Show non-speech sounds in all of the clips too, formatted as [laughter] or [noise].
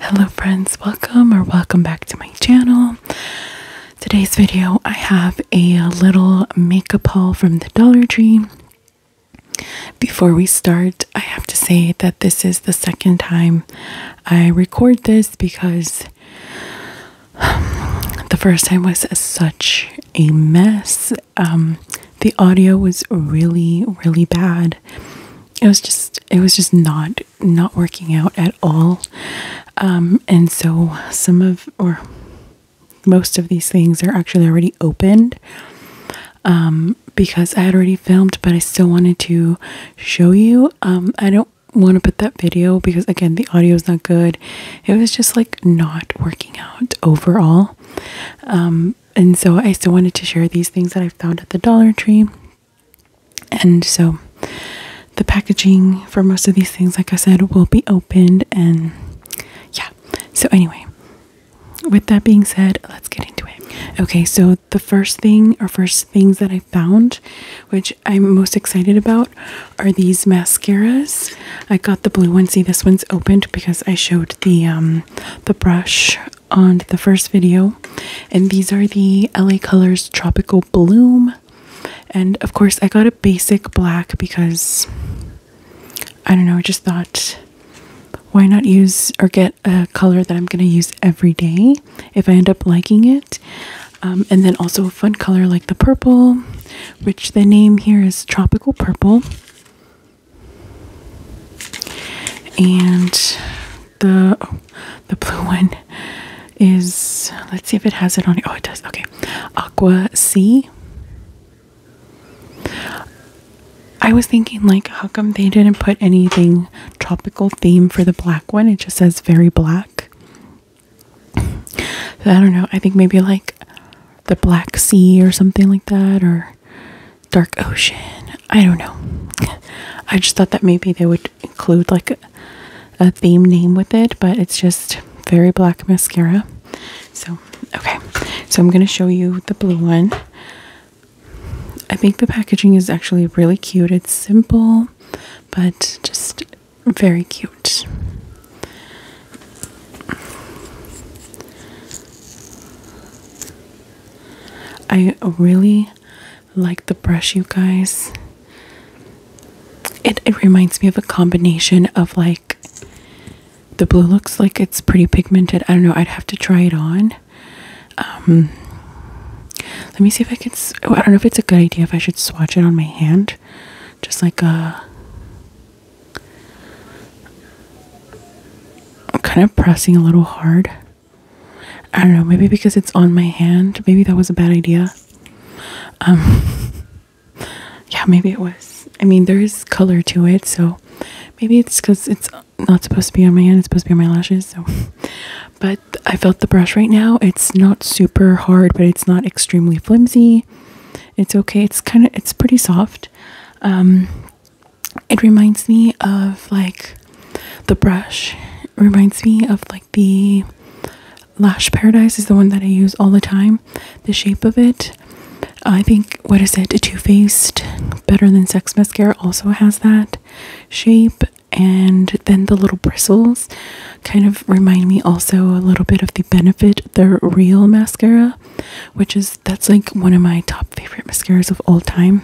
Hello friends, welcome or welcome back to my channel. Today's video I have a little makeup haul from the Dollar Tree. Before we start, I have to say that this is the second time I record this because the first time was such a mess. Um, the audio was really, really bad it was just it was just not not working out at all um and so some of or most of these things are actually already opened um because I had already filmed but I still wanted to show you um I don't want to put that video because again the audio is not good it was just like not working out overall um and so I still wanted to share these things that I found at the Dollar Tree. And so the packaging for most of these things, like I said, will be opened. And yeah, so anyway, with that being said, let's get into it. Okay, so the first thing or first things that I found, which I'm most excited about, are these mascaras. I got the blue one. See, this one's opened because I showed the um the brush on the first video. And these are the LA Colors Tropical Bloom. And of course, I got a basic black because I don't know, I just thought why not use or get a color that I'm going to use every day if I end up liking it. Um, and then also a fun color like the purple, which the name here is Tropical Purple. And the the blue one is let's see if it has it on. Oh, it does. Okay, Aqua Sea. I was thinking like, how come they didn't put anything tropical theme for the black one? It just says very black. I don't know. I think maybe like the Black Sea or something like that, or dark ocean. I don't know. [laughs] I just thought that maybe they would include like a, theme name with it, but it's just very black mascara. So, okay. So, I'm going to show you the blue one. I think the packaging is actually really cute. It's simple, but just very cute. I really like the brush, you guys. It, it reminds me of a combination of like the blue looks like it's pretty pigmented. I don't know, I'd have to try it on. Um, let me see if I can. Oh, I don't know if it's a good idea if I should swatch it on my hand, just like a I'm kind of pressing a little hard. I don't know, maybe because it's on my hand. Maybe that was a bad idea. Um [laughs] Yeah, maybe it was. I mean, there is color to it, so maybe it's cuz it's not supposed to be on my hand, it's supposed to be on my lashes, so but I felt the brush right now. It's not super hard, but it's not extremely flimsy. It's okay. It's kind of it's pretty soft. Um, it reminds me of like the brush. reminds me of like the Lash Paradise is the one that I use all the time. The shape of it. I think what is it? A Too Faced Better Than Sex mascara also has that shape and then the little bristles kind of remind me also a little bit of the benefit the real mascara which is that's like one of my top favorite mascaras of all time.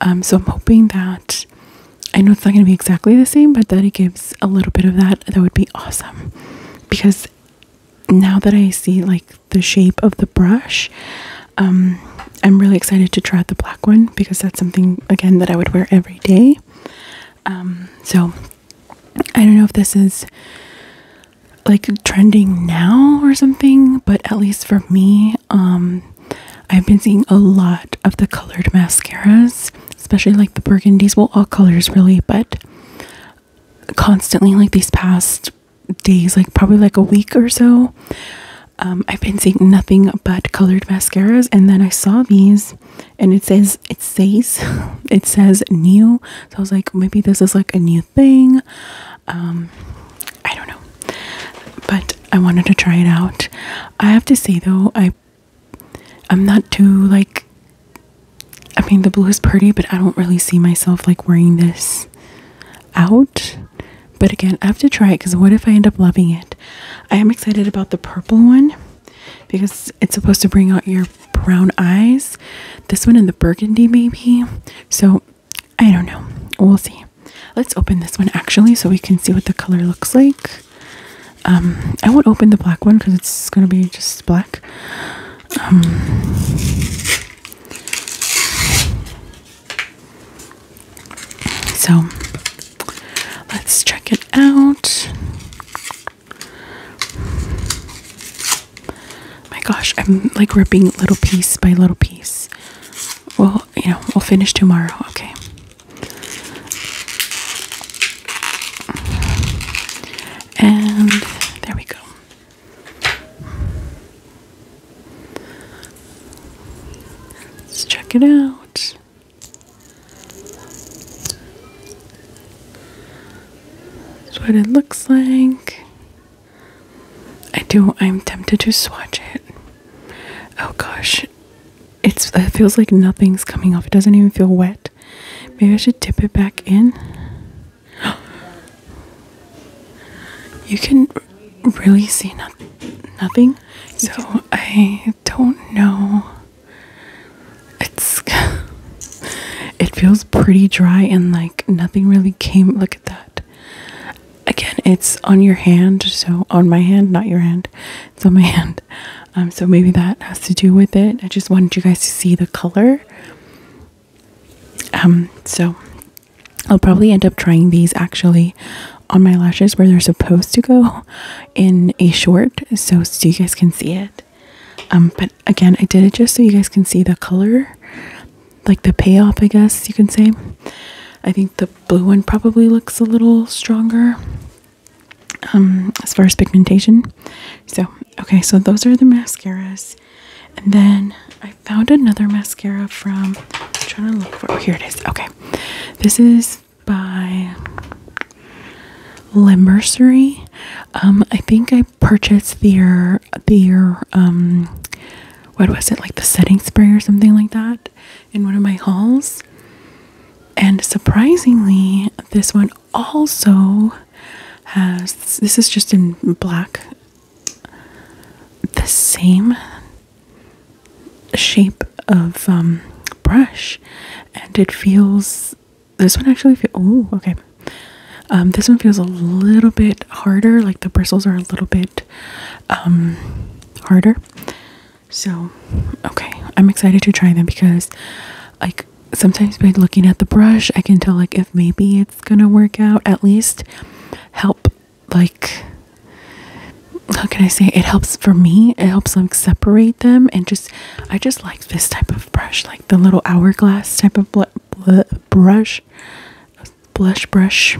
Um, so I'm hoping that I know it's not going to be exactly the same, but that it gives a little bit of that. That would be awesome because now that I see like the shape of the brush, um, I'm really excited to try the black one because that's something again that I would wear every day. Um, so I don't know if this is like trending now or something, but at least for me, um, I've been seeing a lot of the colored mascaras, especially like the burgundies, well all colors really, but constantly like these past days, like probably like a week or so. Um, I've been seeing nothing but colored mascaras, and then I saw these, and it says it says [laughs] it says new so I was like, maybe this is like a new thing. Um, I don't know, but I wanted to try it out. I have to say though, I I'm not too like. I mean, the blue is pretty, but I don't really see myself like wearing this out. But again, I have to try it because what if I end up loving it? I am excited about the purple one because it's supposed to bring out your brown eyes. This one in the burgundy, maybe. So I don't know. We'll see. Let's open this one actually so we can see what the color looks like. Um, I won't open the black one because it's going to be just black. Um, so let's check it out. My gosh, I'm like ripping little piece by little piece. Well, you know, we'll finish tomorrow, okay? And there we go. Let's check it out. That's what it looks like. I do, I'm tempted to swatch it. Oh gosh, it's, it feels like nothing's coming off. It doesn't even feel wet. Maybe I should dip it back in. [gasps] You can really see nothing. So I don't know it's [laughs] it feels pretty dry and like nothing really came look at that. Again, it's on your hand, so on my hand, not your hand. It's on my [laughs] hand. Um so maybe that has to do with it. I just wanted you guys to see the color. Um so I'll probably end up trying these actually on my lashes where they're supposed to go in a short so so you guys can see it um, but again, I did it just so you guys can see the color, like the payoff, I guess you can say. I think the blue one probably looks a little stronger um, as far as pigmentation. So, okay, so those are the mascaras. And then I found another mascara from, I'm trying to look for, oh, here it is. Okay, this is by Limbursery. Um, I think I purchased their their um, what was it like the setting spray or something like that in one of my hauls. And surprisingly, this one also has this is just in black the same shape of um, brush and it feels this one actually feels oh okay um this one feels a little bit harder like the bristles are a little bit um harder so okay i'm excited to try them because like sometimes by looking at the brush i can tell like if maybe it's gonna work out at least help like how can i say it helps for me it helps like separate them and just i just like this type of brush like the little hourglass type of brush blush brush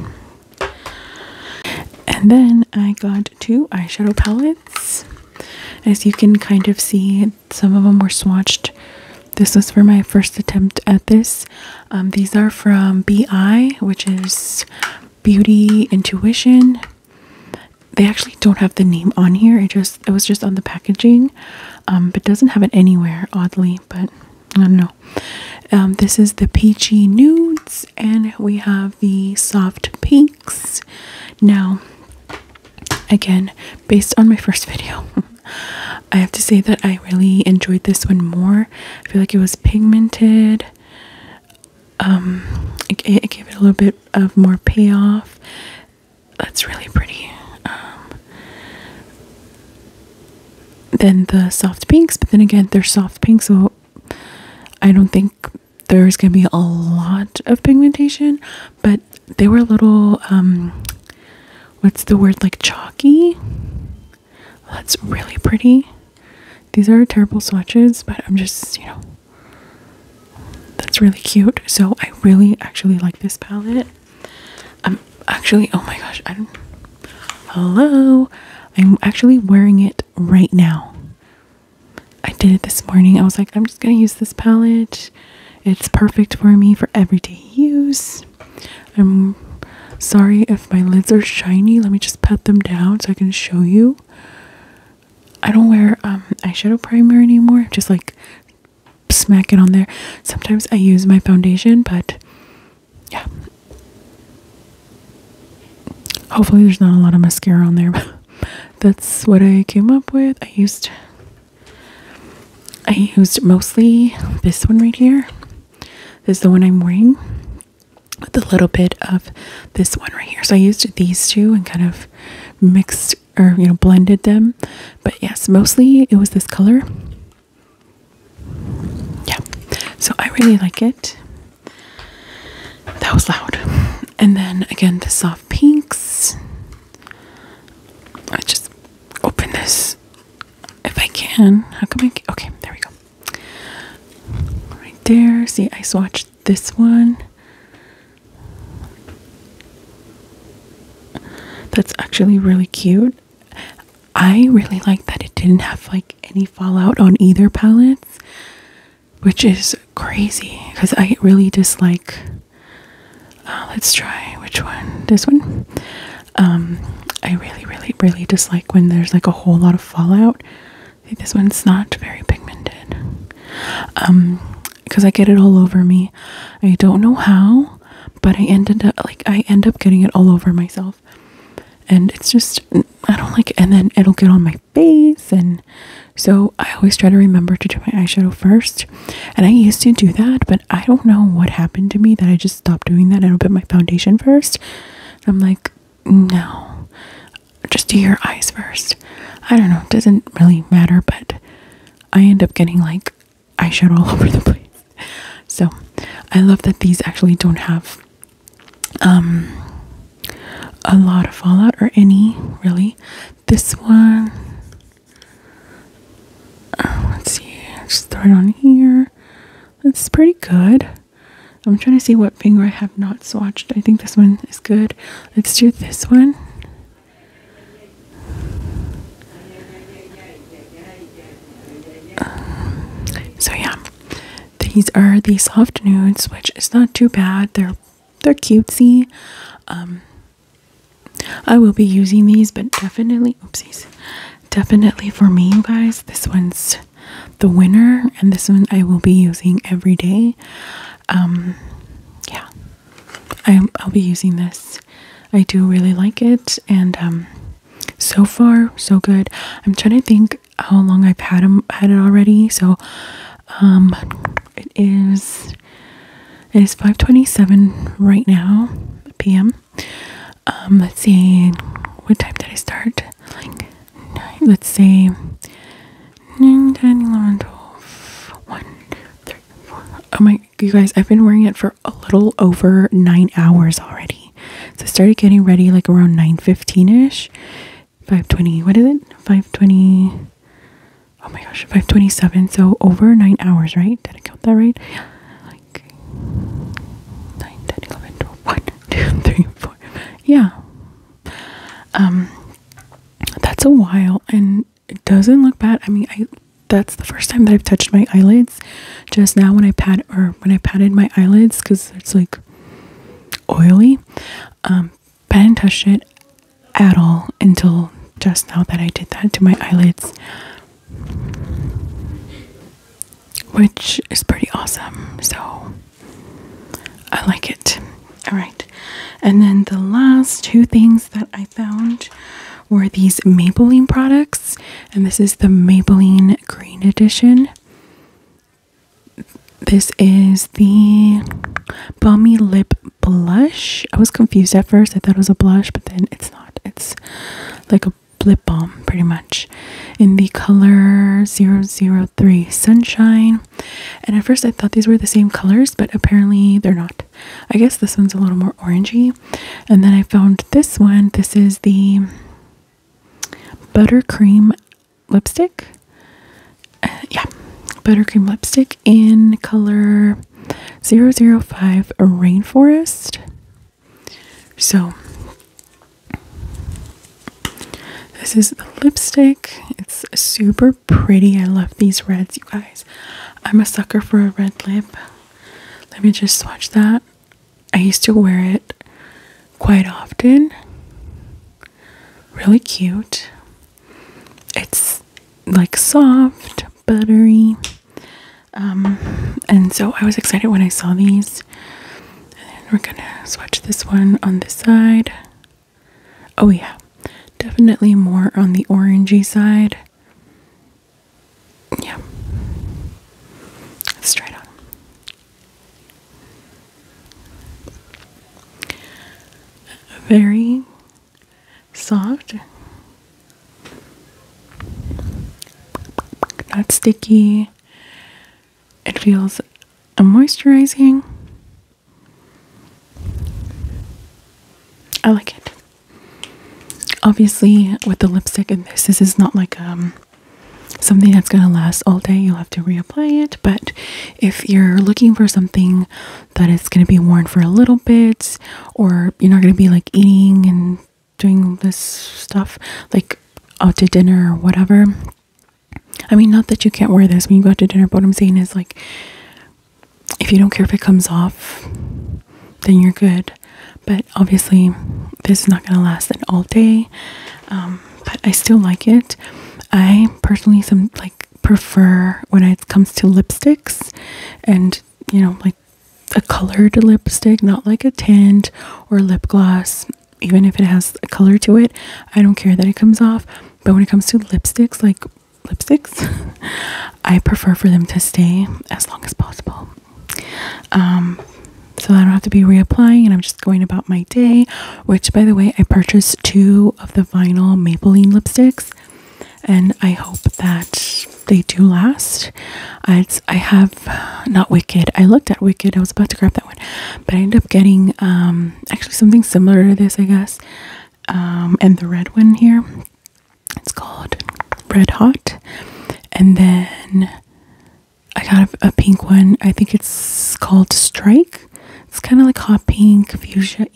and then i got two eyeshadow palettes as you can kind of see some of them were swatched this was for my first attempt at this um, these are from bi which is beauty intuition they actually don't have the name on here. It just it was just on the packaging, um, but doesn't have it anywhere oddly. But I don't know. Um, this is the peachy nudes, and we have the soft pinks. Now, again, based on my first [laughs] video. I have to say that I really enjoyed this one more. I feel like it was pigmented um, it, gave it a little bit of more payoff. That's really pretty. Um, then the soft pinks, but then again, they're soft pinks, so I don't think there's gonna be a lot of pigmentation, but they were a little, um, what's the word, like chalky? That's really pretty. These are terrible swatches, but I'm just, you know, that's really cute. So I really actually like this palette. I'm actually, oh my gosh, hello. I'm actually wearing it right now. I did it this morning. I was like, I'm just going to use this palette. It's perfect for me for everyday use. I'm sorry if my lids are shiny. Let me just pat them down so I can show you. I don't wear um, eyeshadow primer anymore. Just like smack it on there. Sometimes I use my foundation, but yeah. Hopefully there's not a lot of mascara on there. That's what I came up with. I used I used mostly this one right here. This is the one I'm wearing with a little bit of this one right here. So I used these two and kind of mixed or you know blended them. But yes, mostly it was this color. Yeah. So I really like it. That was loud. And then again the soft pinks. I just open this if I can. How come I? Okay, there we go. Right there. See, I swatched this one. That's actually really cute. I really like that it didn't have like any fallout on either palettes, which is crazy because I really dislike. Uh, let's try which one. This one. Um, I really, really, really dislike when there's like a whole lot of fallout this one's not very pigmented. Um, because I get it all over me. I don't know how, but I ended up like I end up getting it all over myself. And it's just I don't like it. and then it'll get on my face and so I always try to remember to do my eyeshadow first. And I used to do that, but I don't know what happened to me that I just stopped doing that. I put my foundation first. I'm like, no. Just do your eyes first. I don't know. It doesn't really matter, but I end up getting like eyeshadow all [laughs] over the place. So I love that these actually don't have um a lot of fallout or any really. This one uh, let's see, just throw it on here. That's pretty good. I'm trying to see what finger I have not swatched. I think this one is good. Let's do this one. Um, so yeah, these are the soft nudes, which is not too bad. They're they're cutesy. Um, I will be using these, but definitely, oopsies, definitely for me, you guys. This one's the winner, and this one I will be using every day. Um, yeah, I, will be using this. I do really like it, and um, so far so good. I'm trying to think how long I've had it already. So, um, it is it is 5:27 right now p.m. Um, let's see, what time did I start? Like, let let's see, 9, 10, Oh my, you guys, I've been wearing it for a little over nine hours already. So I started getting ready like around 9.15 ish. 5.20, what is it? 5.20, oh my gosh, 5.27. So over nine hours, right? Did I count that right? like 9, [laughs] Yeah. Um, that's a while and it doesn't look bad. I mean, I that's the first time that I've touched my eyelids. Just now when I pat or when I patted my eyelids because it's like oily. Um, but I didn't touch it at all until just now that I did that to my eyelids which is pretty awesome. So I like it. All right. And then the last two things that I found were these Maybelline products, and this is the Maybelline Green Edition. This is the Balmy Lip Blush. I was confused at first. I thought it was a blush, but then it's not. It's like a Blip balm pretty much in the color 003 sunshine and at first i thought these were the same colors but apparently they're not i guess this one's a little more orangey and then i found this one this is the buttercream lipstick uh, yeah buttercream lipstick in color 005 rainforest so this is the lipstick. It's super pretty. I love these reds, you guys. I'm a sucker for a red lip. Let me just swatch that. I used to wear it quite often. Really cute. It's like soft, buttery. Um, and so I was excited when I saw these. And we're gonna swatch this one on this side. Oh, yeah, definitely more on the orangey side. Yeah, let's try it on. Very soft, not sticky. It feels moisturizing. I like it. Obviously, with the lipstick in this, this is not like um something that's gonna last all day. You'll have to reapply it. But if you're looking for something that is gonna be worn for a little bit, or you're not gonna be like eating and doing this stuff, like out to dinner or whatever. I mean, not that you can't wear this when you go out to dinner, but what I'm saying is, like, if you don't care if it comes off, then you're good. But obviously, this is not going to last an all day. Um, but I still like it. I personally some like prefer when it comes to lipsticks and you know like a colored lipstick, not like a tint or lip gloss. Even if it has a color to it, I don't care that it comes off. But when it comes to lipsticks, like lipsticks, [laughs] I prefer for them to stay as long as possible. Um, so I don't have to be reapplying, and I'm just going about my day. Which, by the way, I purchased two of the vinyl Maybelline lipsticks, and I hope that they do last. I, I have not Wicked. I looked at Wicked. I was about to grab that one, but I end up getting um, actually something similar to this, I guess. Um, and the red one here, it's called Red Hot. And then I got a, pink one. I think it's called Strike. It's kind of like hot pink, fuchsia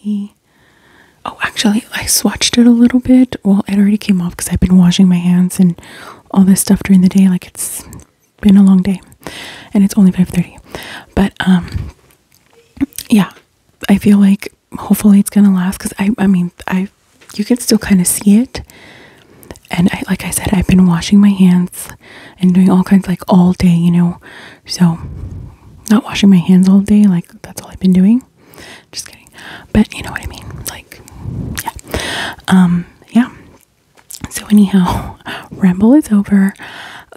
Oh, actually, I swatched it a little bit. Well, it already came off because I've been washing my hands and all this stuff during the day. Like it's been a long day, and it's only five thirty. But um, yeah, I feel like hopefully it's gonna last because I, I mean, I, you can still kind of see it. And like I said, I've been washing my hands and doing all kinds like all day, you know. So, not washing my hands all day, like that's all I've been doing. Just kidding. But you know what I mean? Like, yeah. Um, yeah. So, anyhow, [laughs] ramble is over.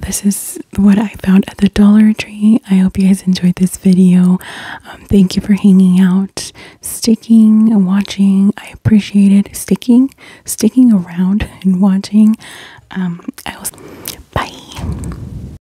This is what I found at the Dollar Tree. I hope you guys enjoyed this video. Um, thank you for hanging out, sticking, and watching. I appreciate it. Sticking, sticking around and watching. Um, I was. Bye.